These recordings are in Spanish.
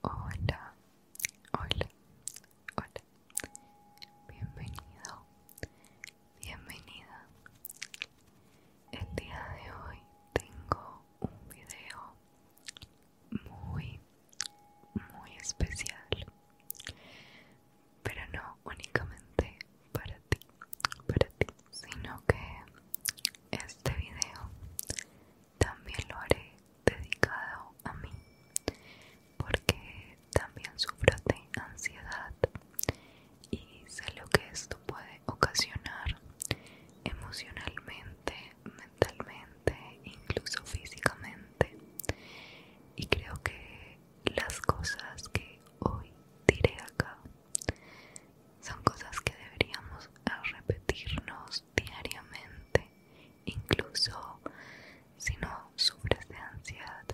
Hola, hola, hola. Bienvenido, bienvenida. El día de hoy tengo un video muy, muy especial. Pero no únicamente para ti, para ti, sino que este video también lo haré dedicado a mí porque también sufro de ansiedad y sé lo que esto puede ocasionar emocionalmente, mentalmente, incluso físicamente. Y creo que las cosas que hoy diré acá son cosas que deberíamos repetirnos diariamente incluso si no sufres de ansiedad.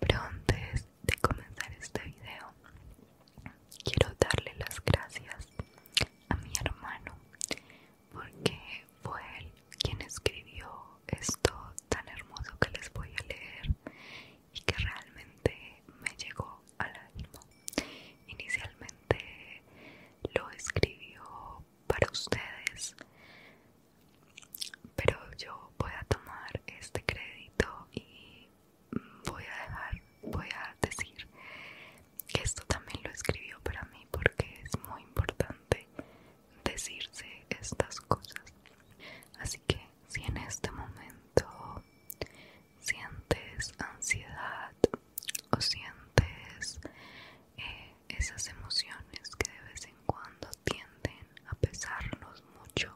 Pero antes de comenzar este video, quiero darle las gracias a mi hermano porque fue él quien escribió esto tan hermoso que les voy a leer y que realmente me llegó al ánimo. Inicialmente lo escribió para ustedes, pero yo voy a tomar este crédito y voy a dejar, voy a decir que esto también lo escribió para mí porque es muy importante decirse estas cosas. Así que si en este momento sientes ansiedad o sientes eh, esas emociones que de vez en cuando tienden a pesarnos mucho,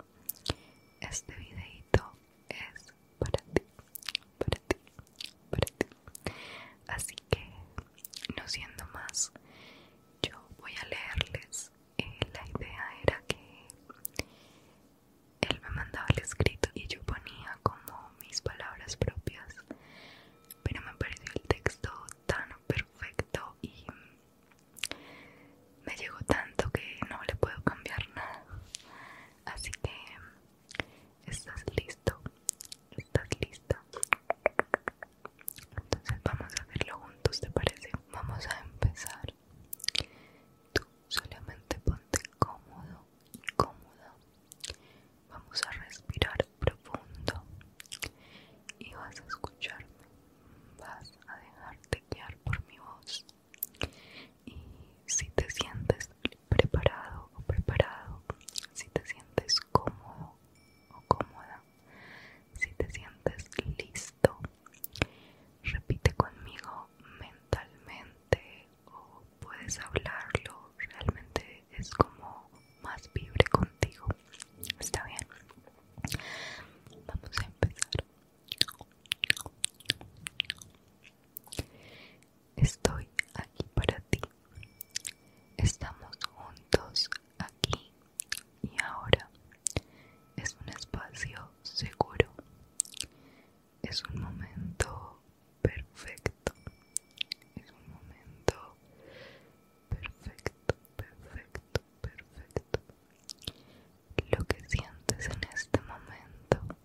este videito es para ti, para ti, para ti. Así que, no siendo más, yo voy a leerles. Eh, la idea era que él me mandaba el escrito y yo ponía como mis palabras propias, pero me pareció el texto tan perfecto y me llegó tanto que no le puedo cambiar nada. Así que, ¿estás listo? ¿Estás lista? Entonces vamos a hacerlo juntos, ¿te parece? Vamos a empezar. Tú solamente ponte cómodo cómoda Vamos a respirar profundo y vas a escucharme. Vas a dejarte guiar por mi voz. Y si te sientes preparado o preparado, si te sientes cómodo o cómoda, si te sientes listo, repite conmigo mentalmente o puedes hablarlo, realmente es como más vibre contigo. Está bien. Vamos a empezar. Estoy aquí para ti. Estamos juntos aquí y ahora. Es un espacio seguro es un momento perfecto es un momento perfecto perfecto perfecto lo que sientes en este momento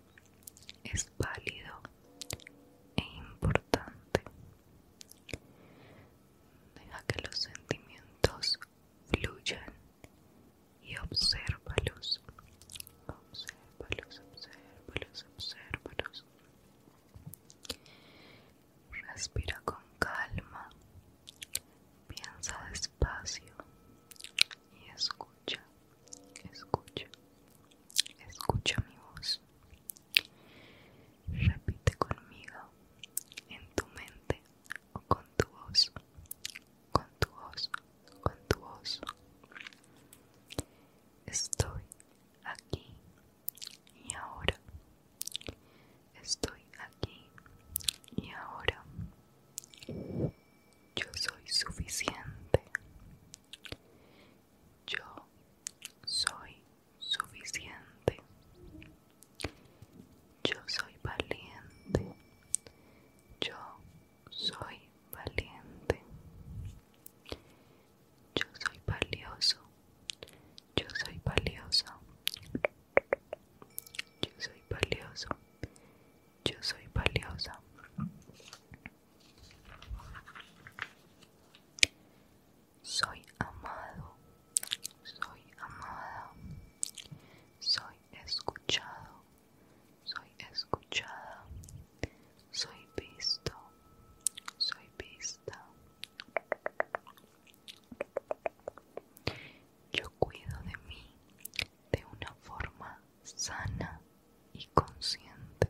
es válido e importante deja que los sentimientos fluyan y obsérvalos obsérvalos, obsérvalos, obsérvalos. Respira con calma, piensa despacio y escucha, escucha, escucha mi voz. Repite conmigo en tu mente o con tu voz, con tu voz, con tu voz. Estoy aquí y ahora. Estoy aquí y ahora. Yo soy suficiente. Yo soy suficiente. Yo soy valiente. Yo soy valiente. Yo soy valioso. Yo soy valioso. Yo soy valioso. Yo soy valiosa. Soy amado. Soy amada. Soy escuchado soy escuchada, soy visto, soy vista. Yo cuido de mí de una forma sana y consciente.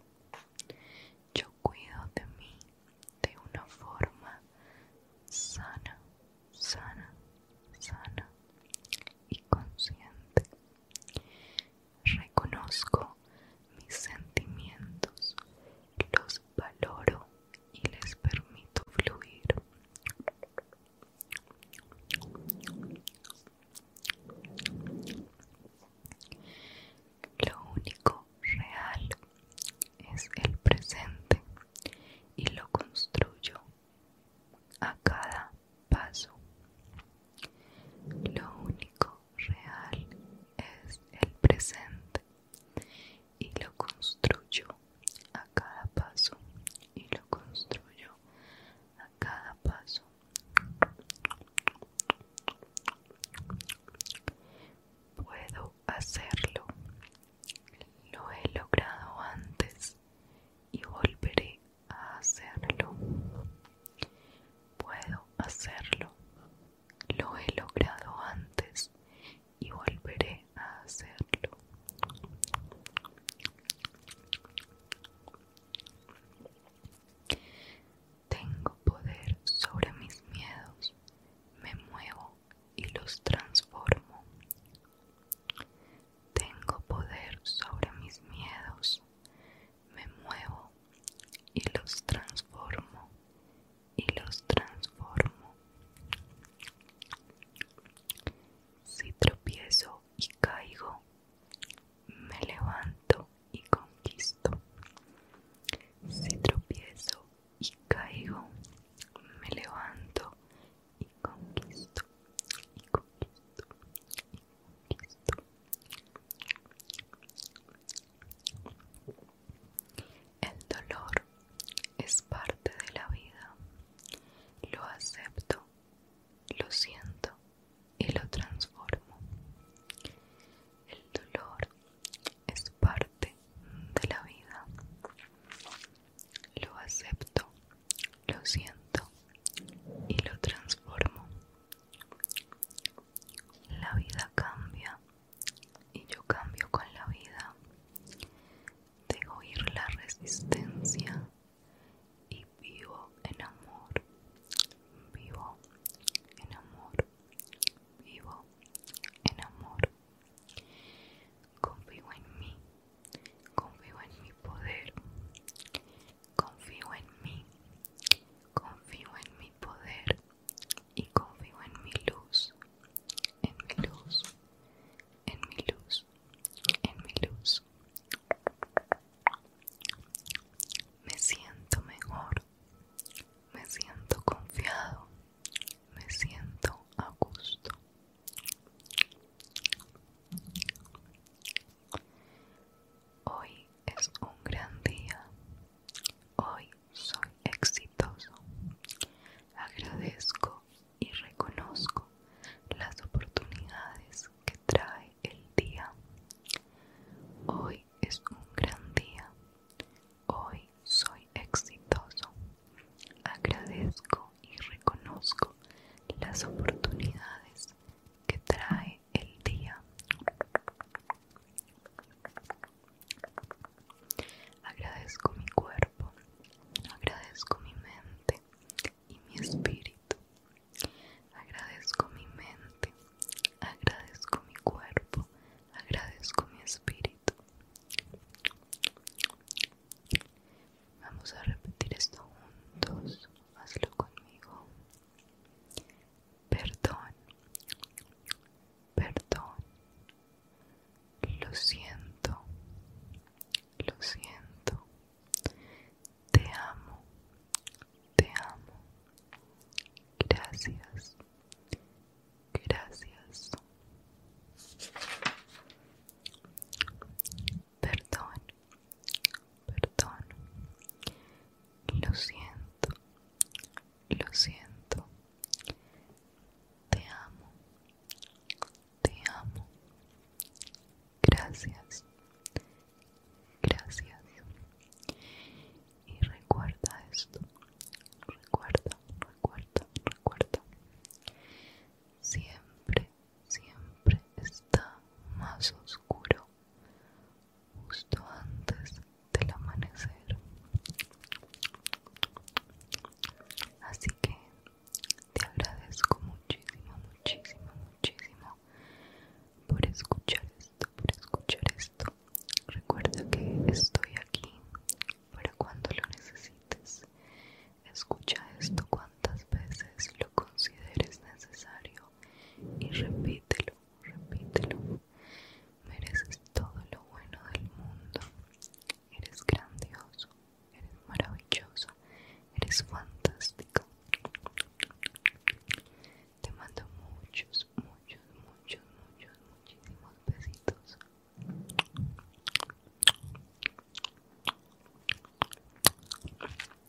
Yo cuido de mí de una forma sana, sana, sana y consciente reconozco mis sentimientos, los valoro y les permito fluir. Lo único real es el presente y lo construyo a cada paso. Lo único real es el presente y lo construyo a cada paso y lo construyo a cada paso. Puedo hacerlo. Lo he logrado antes y volveré a hacerlo. Puedo hacerlo. Lo he logrado antes y volveré a hacerlo. Tengo poder sobre mis miedos. Me muevo y los transformo. Tengo poder sobre mis miedos me muevo y los transformo y los transformo. Si tropiezo y caigo, me levanto y conquisto. Si tropiezo y caigo, me levanto y conquisto, el dolor es parte de la vida. Lo acepto, lo siento y lo transformo. El dolor es parte de la vida. Lo acepto, lo siento y lo transformo. La vida cambia y yo cambio con la vida. Dejo ir la resistencia y vivo en amor. Vivo en amor. Vivo en amor. Confío en mí. Confío en mi poder confío en mí, confío en mi poder y confío en mi luz, en mi luz, en mi luz, en mi luz. Me siento mejor, me siento confiado, me siento a gusto. Hoy es un gran día. Hoy soy exitoso. Agradezco y reconozco las oportunidades que trae el día. Hoy es un gran día. Hoy soy exitoso. Agradezco y reconozco las oportunidades que trae el día. Agradezco mi cuerpo, agradezco mi mente y mi espíritu. Agradezco mi mente, agradezco mi cuerpo, agradezco mi espíritu. Vamos a repetir esto juntos hazlo conmigo. Perdón, perdón, lo siento, lo siento, te amo, te amo, gracias, gracias perdón, perdón, lo siento, lo siento, te amo, te amo, gracias, gracias. Y recuerda esto, recuerda, recuerda, recuerda. Siempre, siempre está más oscuro justo antes del amanecer. Así que te agradezco muchísimo, muchísimo, muchísimo por escuchar esto, por escuchar esto. Recuerda que estoy aquí para cuando lo necesites. Escucha esto cuantas veces lo consideres necesario y repítelo, repítelo. Mereces todo lo bueno del mundo. Eres grandioso, eres maravilloso, eres fantástico. Te mando muchos, muchos, muchos, muchos, muchísimos besitos.